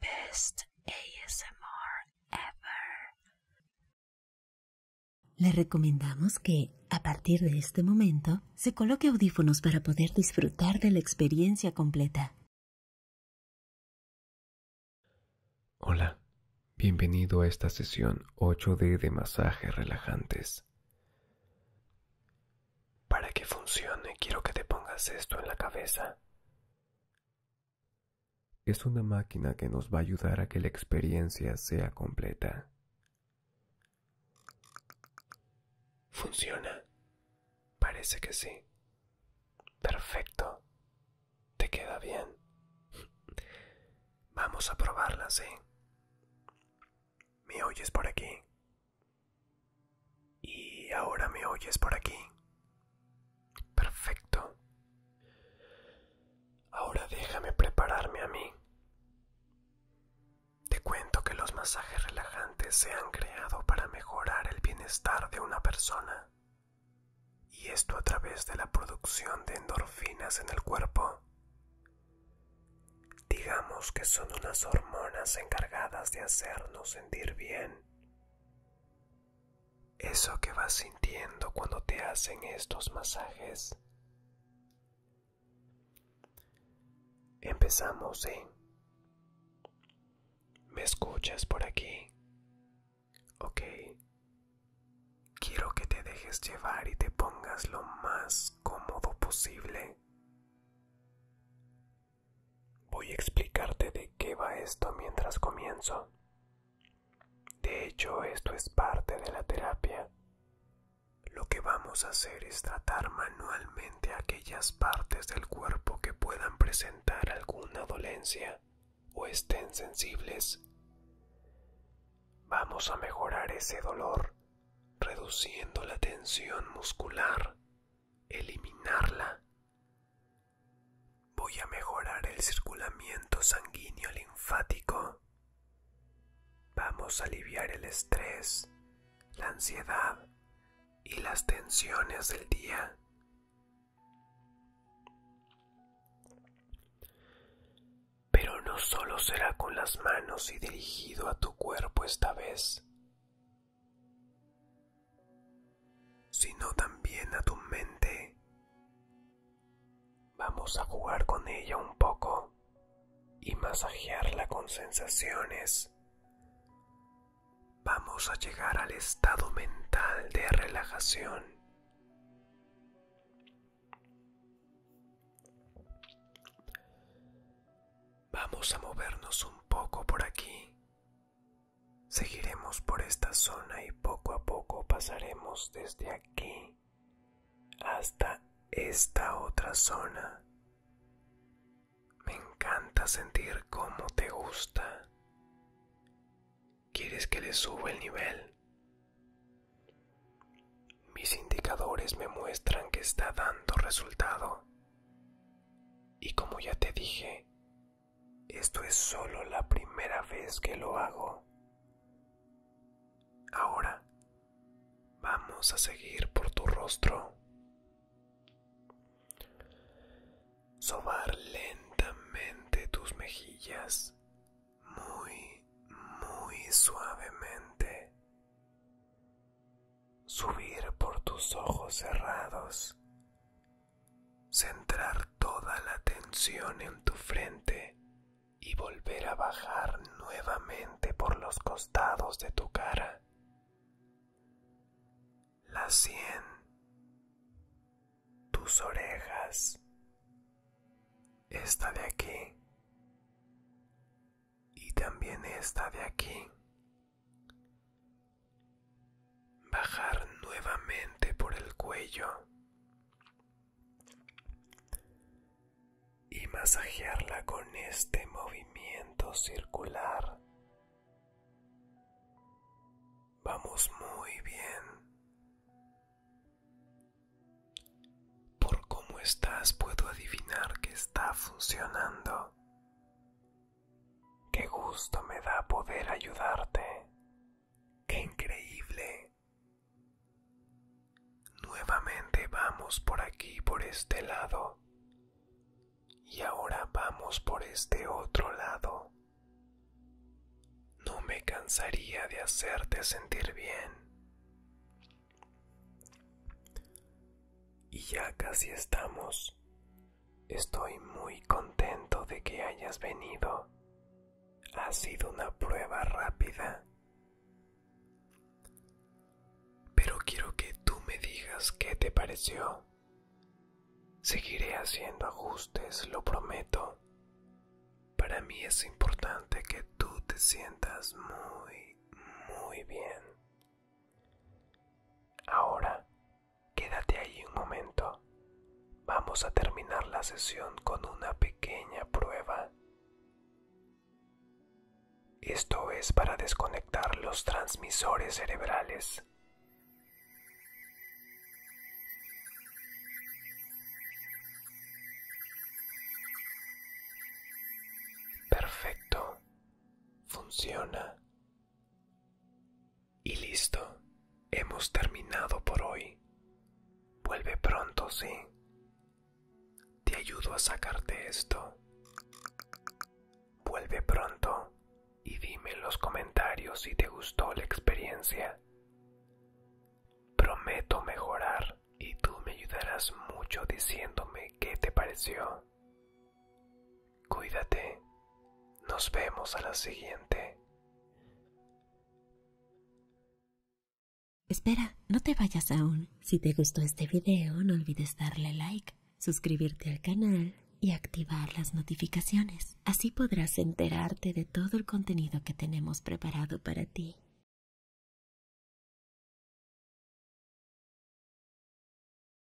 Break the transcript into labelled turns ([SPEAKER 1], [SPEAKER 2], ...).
[SPEAKER 1] Best ASMR ever. Le recomendamos que, a partir de este momento, se coloque audífonos para poder disfrutar de la experiencia completa. Hola, bienvenido a esta sesión 8D de masajes relajantes. Para que funcione quiero que te pongas esto en la cabeza. Es una máquina que nos va a ayudar a que la experiencia sea completa. ¿Funciona? Parece que sí. Perfecto. Te queda bien. Vamos a probarla, ¿sí? ¿Me oyes por aquí? Y ahora me oyes por aquí. Perfecto. Ahora déjame prepararme a mí. Te cuento que los masajes relajantes se han creado para mejorar el bienestar de una persona. Y esto a través de la producción de endorfinas en el cuerpo. Digamos que son unas hormonas encargadas de hacernos sentir bien eso que vas sintiendo cuando te hacen estos masajes. Empezamos en... ¿Me escuchas por aquí? Ok. Quiero que te dejes llevar y te pongas lo más cómodo posible. Voy a explicarte de qué va esto mientras comienzo. De hecho, esto es parte de la terapia. Lo que vamos a hacer es tratar manualmente aquellas partes del cuerpo que puedan presentar alguna dolencia o estén sensibles. Vamos a mejorar ese dolor reduciendo la tensión muscular, eliminarla Voy a mejorar el circulamiento sanguíneo linfático. Vamos a aliviar el estrés, la ansiedad y las tensiones del día. Pero no solo será con las manos y dirigido a tu cuerpo esta vez, sino también a tu mente. Vamos a jugar con ella un poco y masajearla con sensaciones. Vamos a llegar al estado mental de relajación. Vamos a movernos un poco por aquí Seguiremos por esta zona y poco a poco pasaremos desde aquí hasta esta otra zona. Me encanta sentir cómo te gusta. ¿Quieres que le suba el nivel? Mis indicadores me muestran que está dando resultado. Y como ya te dije, esto es solo la primera vez que lo hago. Ahora vamos a seguir por tu rostro. Sobar lentamente tus mejillas, muy, muy suavemente subir por tus ojos cerrados, centrar toda la tensión en tu frente y volver a bajar nuevamente por los costados de tu cara. La sien, tus orejas, esta de aquí y también esta de aquí bajar nuevamente por el cuello y masajearla con este movimiento circular. Vamos muy bien. Por cómo estás puedo adivinar que está funcionando. Qué gusto me da poder ayudarte. Qué increíble. Nuevamente vamos por aquí, por este lado. Y ahora vamos por este otro lado. No me cansaría de hacerte sentir bien. Y ya casi estamos. Estoy muy contento de que hayas venido. Ha sido una prueba rápida. Pero quiero que tú me digas qué te pareció. Seguiré haciendo ajustes, lo prometo. Para mí es importante que tú te sientas muy, muy bien. Ahora Quédate ahí un momento. Vamos a terminar la sesión con una pequeña prueba. Esto es para desconectar los transmisores cerebrales. Perfecto. Funciona. Y listo, hemos terminado por hoy. Vuelve pronto, sí. Te ayudo a sacarte esto. Vuelve pronto y dime en los comentarios si te gustó la experiencia. Prometo mejorar y tú me ayudarás mucho diciéndome qué te pareció. Cuídate. Nos vemos a la siguiente. Espera, no te vayas aún. Si te gustó este video, no olvides darle like, suscribirte al canal y activar las notificaciones. Así podrás enterarte de todo el contenido que tenemos preparado para ti.